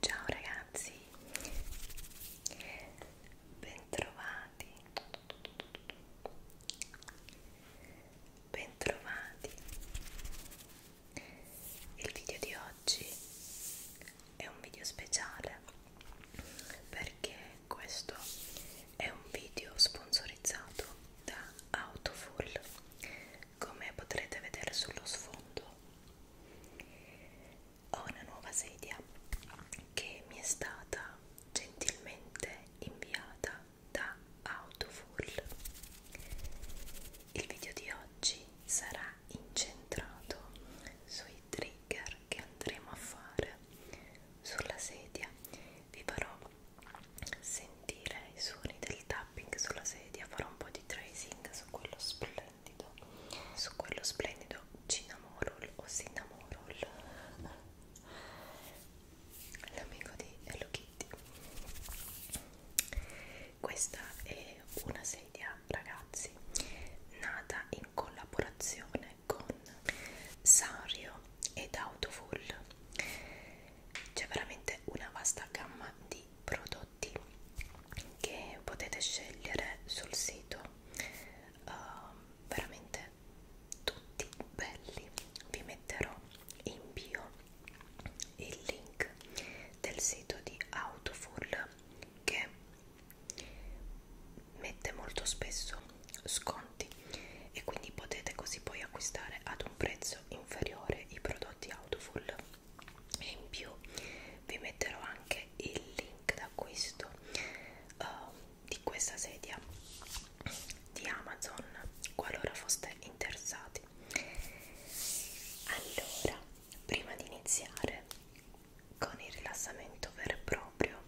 Ciao ragazzi, bentrovati Bentrovati! Il video di oggi è un video speciale perché questo è un video sponsorizzato da Autofull come potrete vedere sullo sfondo ho una nuova sedia che mi è stata gentilmente inviata da Autofull. Il video di oggi sarà incentrato sui trigger che andremo a fare sulla sedia. Vi farò sentire i suoni del tapping sulla sedia, farò un po' di tracing su quello splendido, su quello splendido cinnamorol o cinnamorol l'amico di Hello Kitty questa è una sedia ragazzi nata in collaborazione con Sanrio ed Autofull c'è veramente una vasta gamma di prodotti che potete scegliere sul sito uh, veramente tutti belli vi metterò in bio il link del sito di Autofull che mette molto spesso sconti e quindi potete così poi acquistare ad un prezzo inferiore i prodotti Autofull e in più vi metterò anche il link d'acquisto uh, di questa sedia di Amazon qualora foste interessati. Allora, prima di iniziare con il rilassamento vero e proprio,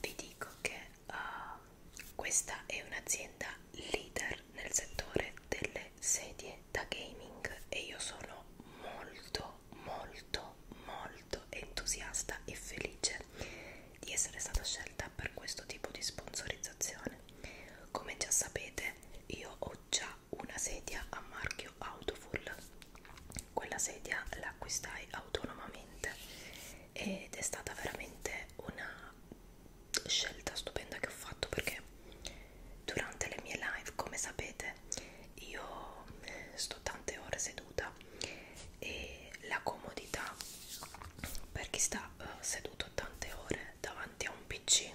vi dico che uh, questa è un'azienda leader nel settore delle sedie da gaming e io sono molto molto molto entusiasta e felice di essere stata scelta per questo tipo di sponsorizzazione. Come già sapete, io ho già una sedia a marchio Autofull. Quella sedia l'acquistai autonomamente ed è stata veramente una scelta stupenda che ho fatto perché durante le mie live, come sapete, io sto tante ore seduta e la comodità per chi sta uh, seduto tante ore davanti a un pc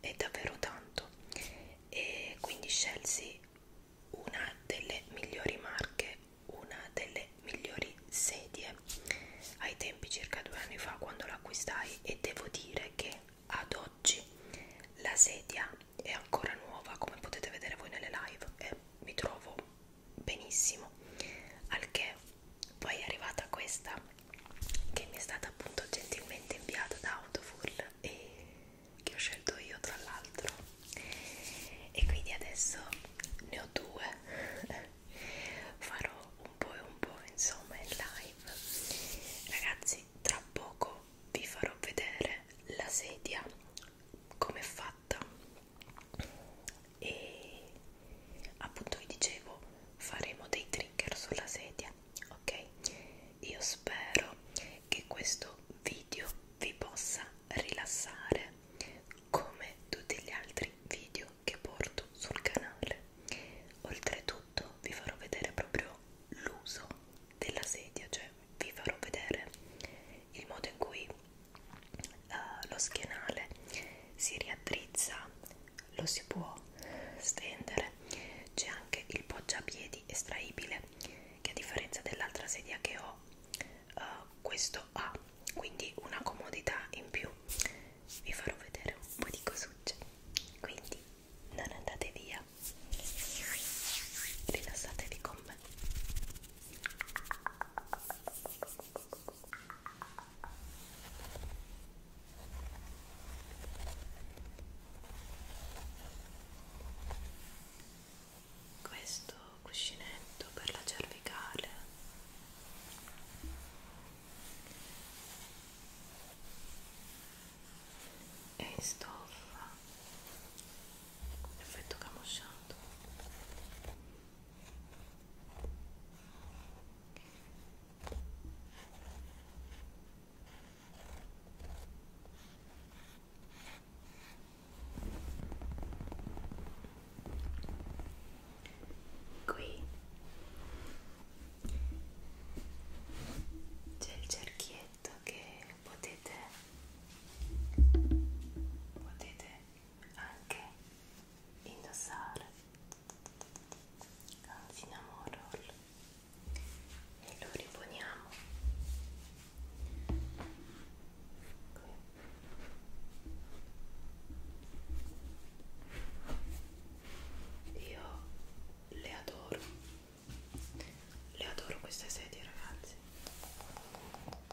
è davvero tanto e quindi scelsi una delle migliori marche una delle migliori sedie ai tempi circa due anni fa quando l'acquistai e devo dire che ad oggi la sedia è ancora nuova come potete vedere voi nelle live e mi trovo benissimo al che poi è arrivata questa che mi è stata appunto gentilmente inviata da Autofull e che ho scelto io tra l'altro e quindi adesso ne ho due farò un po' e un po' insomma in live ragazzi tra poco vi farò vedere la sedia come è fatta e appunto vi dicevo faremo dei trigger sulla sedia ok io spero che questo video vi possa rilassare come tutti gli altri video che porto sul canale oltretutto vi farò vedere proprio l'uso della sedia cioè vi farò vedere il modo in cui uh, lo schienale si riaddrizza lo si può stendere c'è anche il poggiapiedi estraibile che a differenza dell'altra sedia che ho uh, questo ha quindi una comodità in più vi farò vedere un po' di cosucce quindi non andate via rilassatevi con me questo cuscinetto per la cervicale è in stoffa effetto camosciato Qui c'è il cerchietto che potete potete anche indossare un cinnamon roll e lo riponiamo qui io le adoro le adoro queste sedie ragazzi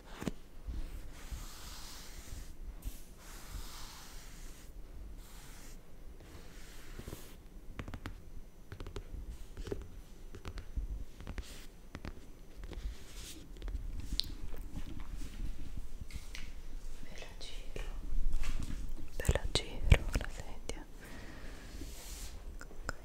Ve la giro, ve la giro la sedia. Okay.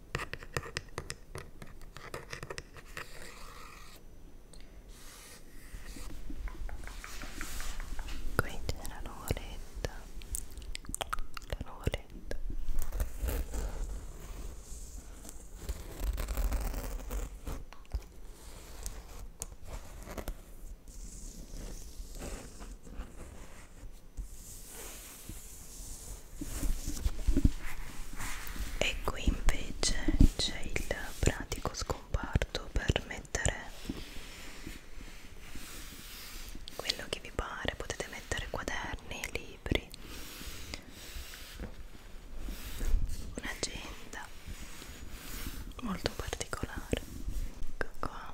qui c'era l'oretta la nuvoletta e qui invece c'è il pratico scomparto per mettere quello che vi pare potete mettere quaderni, libri un'agenda molto particolare ecco qua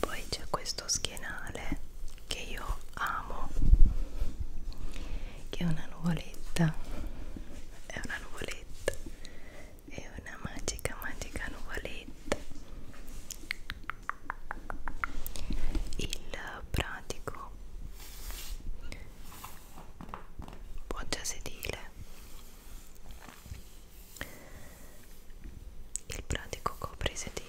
poi c'è questo schienale che io amo che è una nuvoletta è una nuvoletta è una magica magica nuvoletta il pratico poggia sedile il pratico coprisedile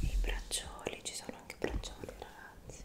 i braccioli ci sono anche braccioli ragazzi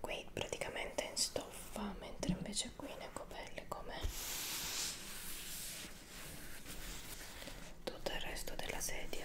Qui praticamente è in stoffa, mentre invece invece qui le copelle come tutto il resto della sedia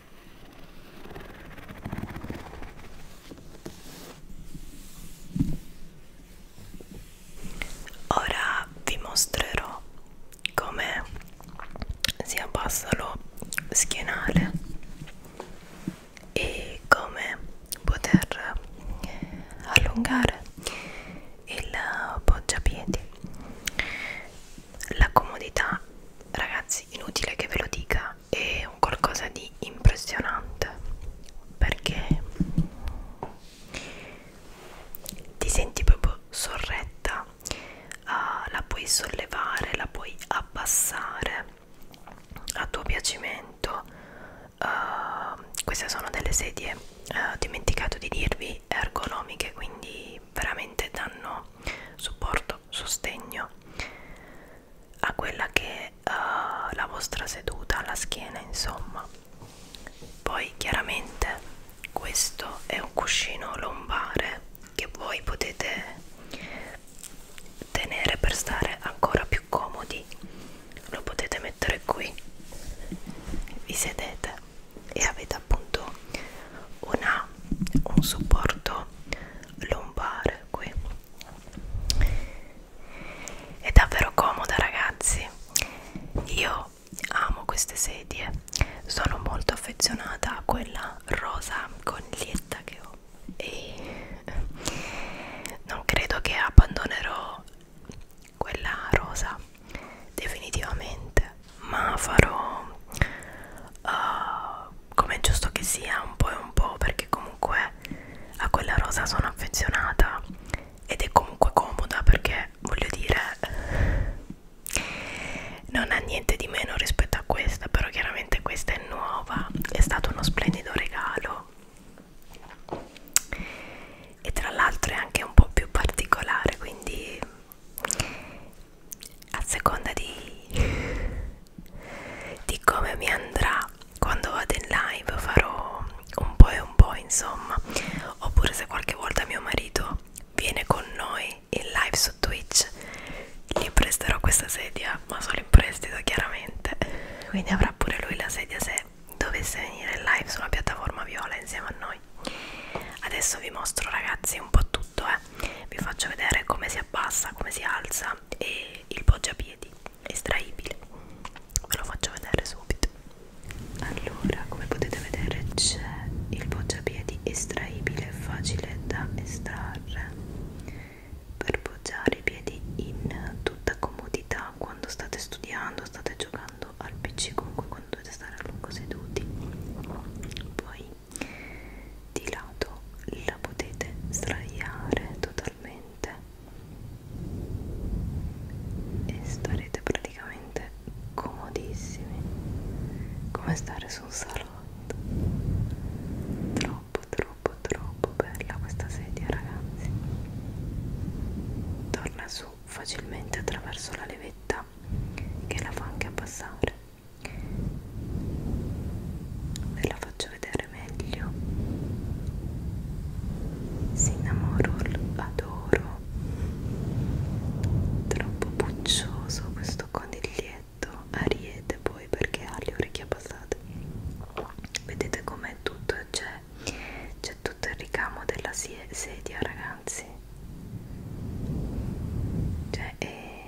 Ora vi mostrerò come si abbassa lo schienale e come poter allungare il poggiapiedi. La comodità, ragazzi, inutile che ve lo dica è un qualcosa di impressionante perché ti senti proprio sorretta, uh, la puoi sollevare, la puoi abbassare a tuo piacimento. Uh, queste sono delle sedie, ah, ho uh, dimenticato di dirvi, ergonomiche, quindi veramente danno supporto, sostegno a quella che è uh, eh, la vostra seduta alla schiena insomma poi chiaramente questo è un cuscino lombare che voi potete tenere per stare ancora più comodi lo potete mettere qui vi sedete e avete appunto una, un supporto lombare pure qui è davvero comoda ragazzi io amo queste sedie sono molto affezionata a quella rosa coniglietta che ho e non credo che abbandonerò quella rosa definitivamente ma farò uh, come è giusto che sia un po' e un po' perché comunque a quella rosa sono affezionata ed è comunque comoda perché voglio dire non ha niente di meno rispetto a questa però chiaramente questa è nuova è stato uno splendido regalo e tra l'altro è anche un po' più particolare quindi a seconda di, di come mi andrà quando vado in live farò un po' e un po' insomma oppure se qualche volta mio marito viene con noi in live su Twitch gli presterò questa sedia ma solo in prestito chiaramente quindi avrà pure lui la sedia se dovesse venire in live sulla piattaforma viola insieme a noi adesso vi mostro ragazzi un po' tutto eh vi faccio vedere come si abbassa, come si alza e il poggiapiedi estraibile ve lo faccio vedere subito allora come potete vedere c'è il poggiapiedi estraibile facile da estrarre per poggiare i piedi in tutta comodità quando state studiando state giocando al pc comunque quando dovete stare a lungo seduti poi di lato la potete sdraiare totalmente e starete praticamente comodissimi come stare su un salotto troppo troppo troppo bella questa sedia ragazzi torna su facilmente attraverso la levetta che la fa anche abbassare ve la faccio vedere meglio Cinnamoro adoro troppo puccioso questo coniglietto ariete poi perché ha le orecchie abbassate vedete com'è tutto c'è c'è tutto il ricamo della sedia ragazzi cioè è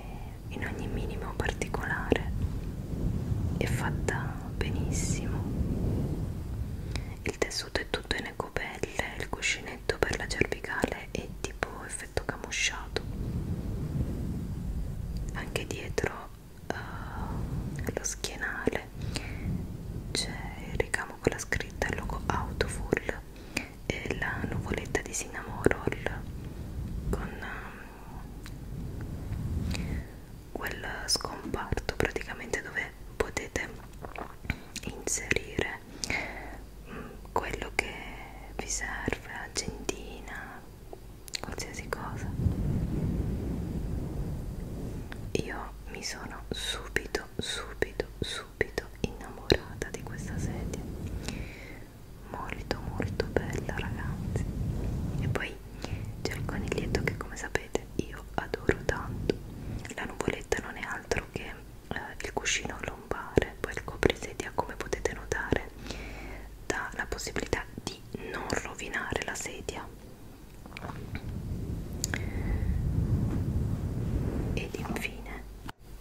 in ogni minimo particolare è fatta benissimo il tessuto è tutto in ecopelle il cuscinetto per la cervicale è tipo effetto camusciato anche dietro uh, lo schienale c'è il ricamo con la scritta il logo Autofull e la nuvoletta di cinnamon roll con quel scomparto praticamente dove potete inserire mm, quello che vi serve, agendina, qualsiasi cosa. Io mi sono subito, subito, subito innamorata di questa sedia molto molto bella ragazzi e poi c'è il coniglietto che come sapete io adoro tanto la nuvoletta non è altro che eh, il cuscino lombare poi il coprisedia come potete notare dà la possibilità di non rovinare la sedia ed infine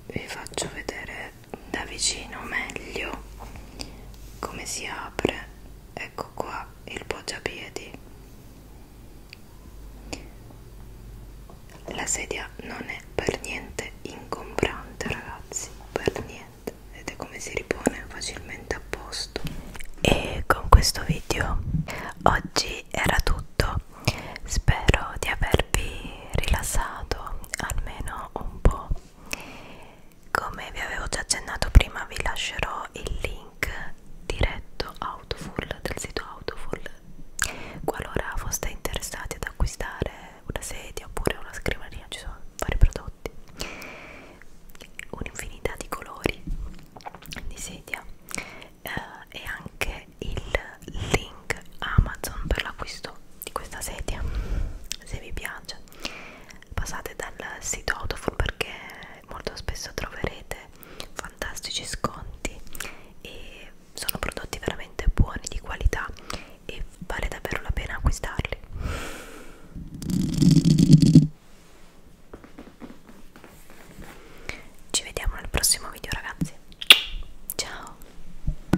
vi faccio vedere da vicino meglio come si apre ecco qua il poggiapiedi la sedia non è per niente ingombrante ragazzi per niente vedete come si ripone facilmente a posto e con questo video oggi era tutto spero di avervi rilassato almeno un po' come vi avevo già accennato prima vi lascerò il link diretto Autofull del sito Autofull qualora foste interessati ad acquistare una sedia oppure una scrivania ci sono vari prodotti un'infinità di colori di sedia eh, e anche il link Amazon per l'acquisto di questa sedia se vi piace passate dal sito Autofood perché molto spesso troverete fantastici sconti e sono prodotti veramente buoni di qualità e vale davvero la pena acquistarli ci vediamo nel prossimo video ragazzi ciao